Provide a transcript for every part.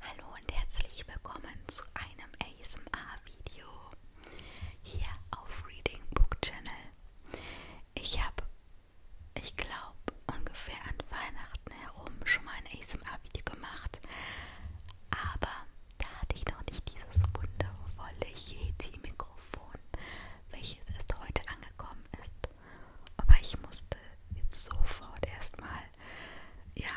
Hallo und herzlich willkommen zu einem ASMR-Video hier auf Reading Book Channel. Ich habe, ich glaube, ungefähr an Weihnachten herum schon mal ein ASMR-Video gemacht, aber da hatte ich noch nicht dieses wundervolle Yeti-Mikrofon, welches erst heute angekommen ist. Aber ich musste jetzt sofort erstmal, ja,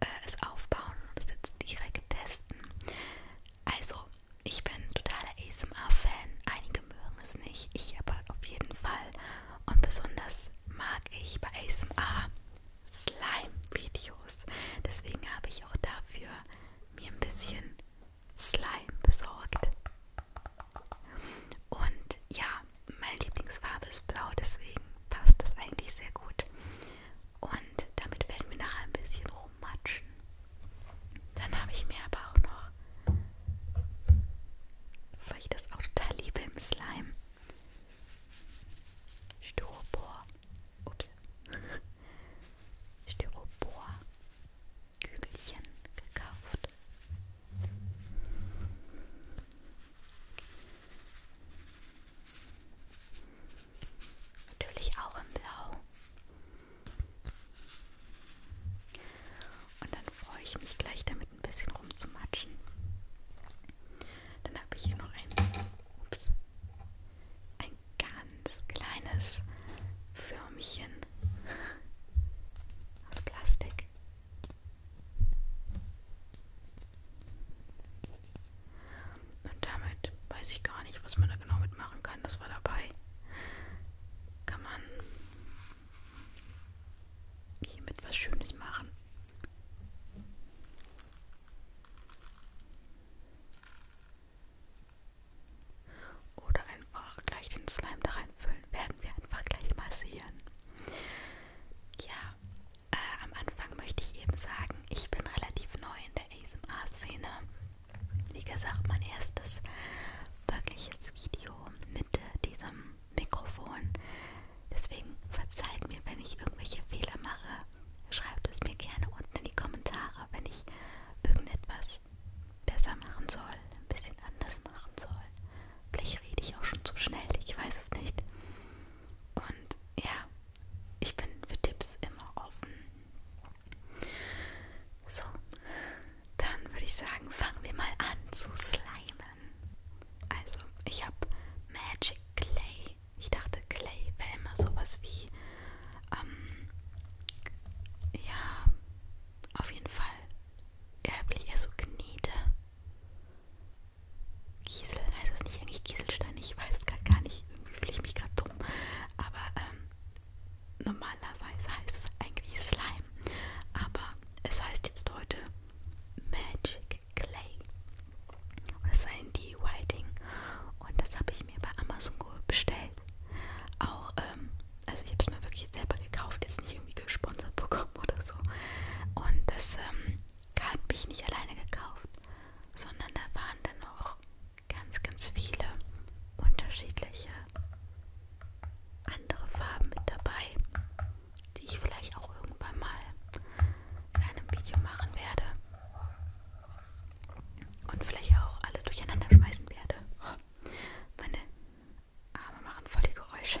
äh, es aufbauen und es jetzt direkt testen. Also, ich bin totaler ASMR-Fan. Einige mögen es nicht, ich aber auf jeden Fall. Und besonders mag ich bei ASMR Slime-Videos. Deswegen habe ich auch dafür mir ein bisschen Slime besorgt. Und ja, meine Lieblingsfarbe ist blau, deswegen passt das eigentlich sehr gut. Und damit werden wir nachher ein bisschen rummatschen. Dann habe ich mir aber auch noch, weil ich das auch total liebe im Slime, Styropor, ups, Styropor Kügelchen gekauft. Natürlich auch in Blau. Und dann freue ich mich gleich damit ein bisschen rumzumatschen. Dann habe ich hier noch ein, ups, ein ganz kleines Förmchen aus Plastik. Und damit weiß ich gar nicht, was man da genau mitmachen kann. Das war dabei. Kann man hiermit was Schönes machen. Oder einfach gleich den Slime da reinfüllen. Werden wir einfach gleich mal sehen. Ja, äh, am Anfang möchte ich eben sagen, ich bin relativ neu in der ASMR-Szene. Wie gesagt, mein erstes wirkliches Video mit diesem Mikrofon. Deswegen verzeiht mir, wenn ich irgendwelche Fehler mache. Schreibt es mir gerne unten in die Kommentare, wenn ich irgendetwas besser machen soll, ein bisschen anders machen soll. Vielleicht rede ich auch schon zu schnell, ich weiß es nicht. Und ja, ich bin für Tipps immer offen. So, dann würde ich sagen, fangen wir mal an zu slimen. Also, ich habe Magic Clay. Ich dachte, Clay wäre immer sowas wie, ähm, ja, auf jeden Fall, eher so Knete. Kiesel, heißt das nicht eigentlich Kieselstein? Ich weiß es gerade gar nicht. Irgendwie fühle ich mich gerade dumm. Aber ähm, normalerweise heißt es eigentlich Slime. Aber es heißt jetzt heute Magic Clay. Und das ist ein D-Whiting. Und das habe ich mir bei Amazon bestellt. Auch, ähm, also ich habe es mir wirklich selber gekauft, jetzt nicht irgendwie gesponsert bekommen oder so. Und das ähm, habe ich nicht alleine gekauft, sondern da waren dann noch ganz, ganz viele unterschiedliche andere Farben mit dabei, die ich vielleicht auch irgendwann mal in einem Video machen werde und vielleicht auch alle durcheinander schmeißen werde. Meine Arme machen voll die Geräusche.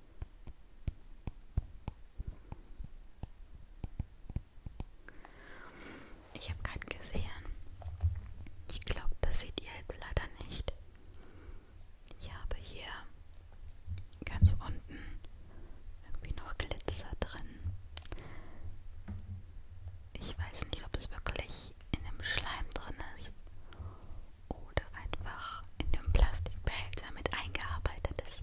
Ich habe gerade gesehen. Ich glaube, das seht ihr jetzt leider nicht. Ich habe hier ganz unten irgendwie noch Glitzer drin. Ich weiß nicht, ob es wirklich in dem Schleim drin ist oder einfach in dem Plastikbehälter mit eingearbeitet ist.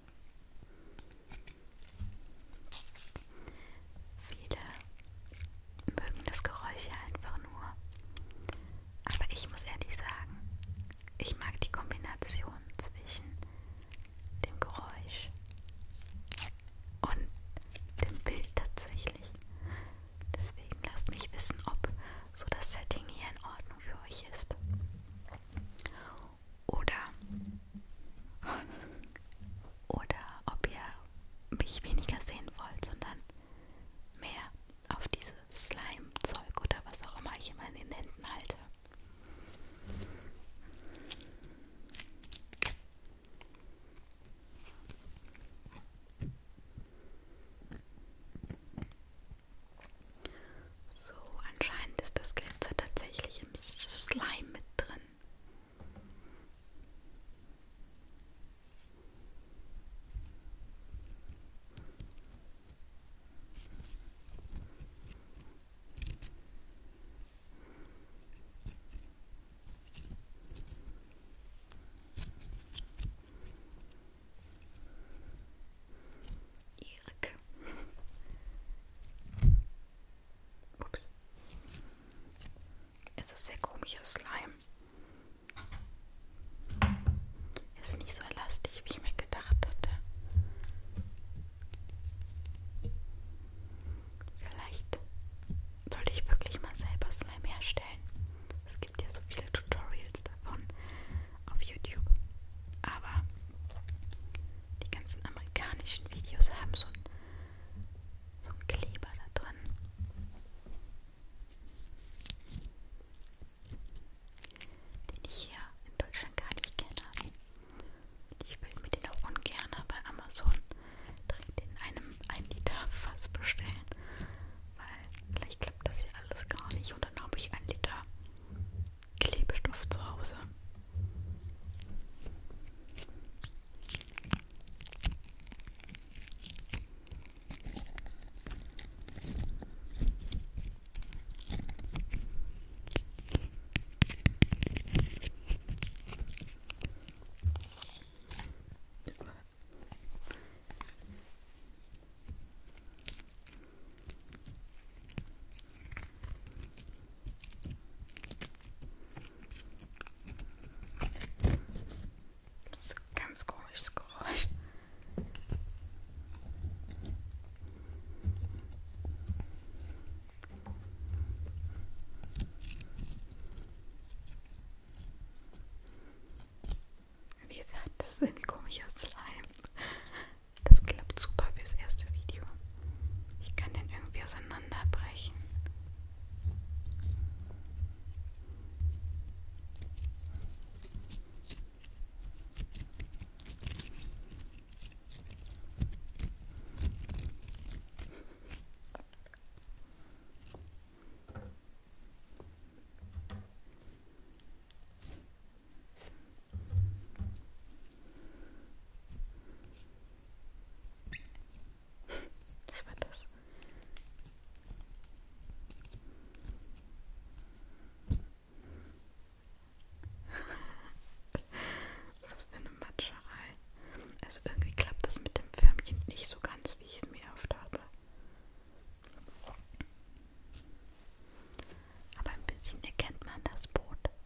Viele mögen das Geräusch einfach nur. Aber ich muss ehrlich sagen, ich mag die Kombination zwischen dem Geräusch und dem Bild tatsächlich. Deswegen lasst mich wissen, ob so das Setting hier in Ordnung für euch ist oder, oder ob ihr mich weniger sehen wollt, sondern mehr auf dieses Slime-Zeug oder was auch immer ich immer in den Händen halte. So, anscheinend ist das Glitzer tatsächlich im Slime mit drin schwierig. Ups. Es ist sehr komischer Slime. Es ist nicht so elastisch, wie ich mir gedacht hatte. Vielleicht sollte ich wirklich mal selber Slime herstellen. Es gibt ja so viele Tutorials davon auf YouTube. Aber die ganzen amerikanischen Videos haben so einen, so einen Kleber da drin. Den ich hier in Deutschland gar nicht kenne. Ich will mir den auch ungern bei Amazon direkt in einem 1 Liter Fass bestellen. Weil vielleicht klappt das ja alles gar nicht. Und dann habe ich 1 Liter Klebstoff zu Hause. Das ist ein ganz komisches Geräusch. Wie gesagt, das ist ein komischer Slime. Das klappt super fürs erste Video. Ich kann den irgendwie auseinanderbrechen. Das war das. Was für eine Matscherei. Also irgendwie klappt das mit dem Förmchen nicht so ganz, wie ich es mir erhofft habe. Aber ein bisschen erkennt man das Boot.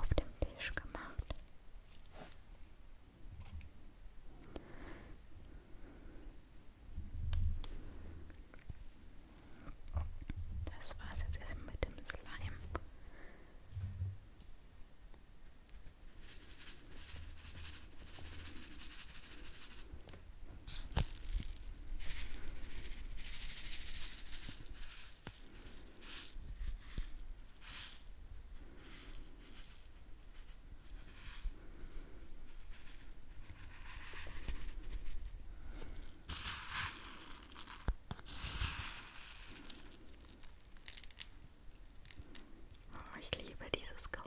auf dem Tisch gemacht. Das war's jetzt erstmal mit dem Slime. Oh, ich liebe dieses Geräusch.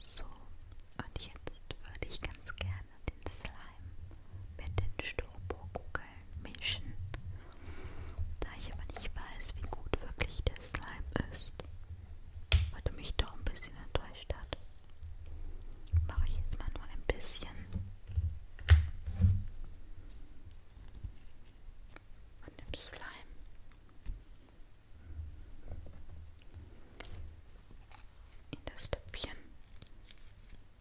So, und jetzt würde ich ganz gerne den Slime mit den Styroporkugeln aktuellen Menschen. Da ich aber nicht weiß, wie gut wirklich der Slime ist, weil du mich doch ein bisschen enttäuscht hat, mache ich jetzt mal nur ein bisschen. Von dem Slime. In das Töpfchen.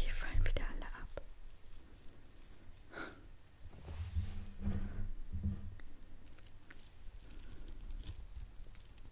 Die fallen wieder alle ab.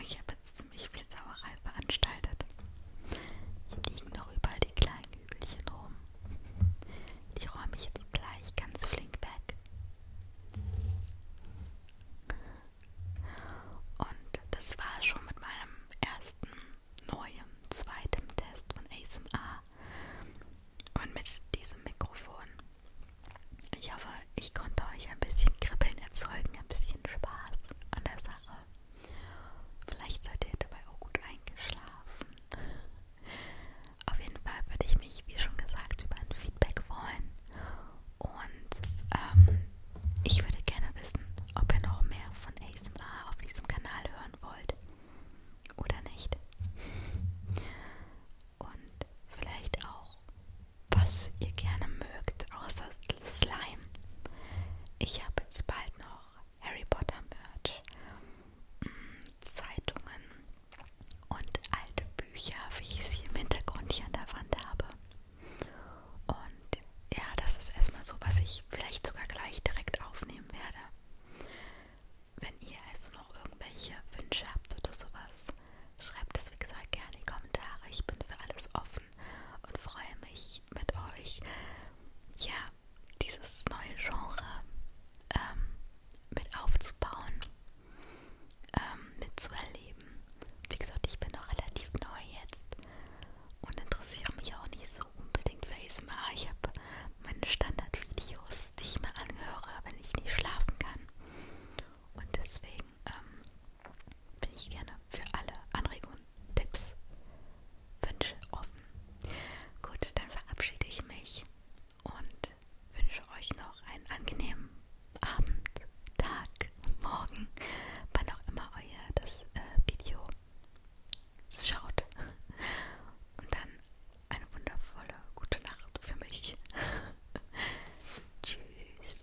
Ich habe jetzt ziemlich viel Sauerei veranstaltet. Hier liegen noch überall die kleinen Kügelchen rum. Die räume ich jetzt gleich ganz flink weg. Und das war schon mit meinem ersten neuen, zweiten Test von ASMR und mit diesem Mikrofon. Ich hoffe, ich konnte euch ein bisschen kribbeln erzeugen, ein bisschen Spaß an der Sache. Vielleicht seid ihr dabei auch gut eingeschlafen. Auf jeden Fall würde ich mich, wie schon gesagt, über ein Feedback freuen. Und ähm, ich würde gerne wissen, ob ihr noch mehr von ASMR auf diesem Kanal hören wollt oder nicht. Und vielleicht auch, was ihr gerne mögt, außer Slime. Ich habe jetzt bald noch Harry Potter Merch, mm, Zeitungen und alte Bücher, wie ich sie im Hintergrund hier an der Wand habe. Und ja, das ist erstmal so, was ich vielleicht sogar gleich direkt aufnehmen werde. Wenn ihr also noch irgendwelche Wünsche habt oder sowas, schreibt es wie gesagt gerne in die Kommentare. Ich bin für alles offen und freue mich mit euch, ja, dieses neue Genre ähm, mit aufzubauen, ähm, mitzuerleben. Wie gesagt, ich bin noch relativ neu jetzt und interessiere mich auch nicht so unbedingt für ASMR. Ich habe meine Standardvideos, die ich mir anhöre, wenn ich nicht schlafen kann. Und deswegen deswegen ähm, bin ich gerne für alle Anregungen, Tipps, Wünsche offen. Gut, dann verabschiede ich mich und wünsche euch noch einen angenehmen Abend, Tag und Morgen, wann auch immer euer das äh, Video schaut. Und dann eine wundervolle gute Nacht für mich. Tschüss.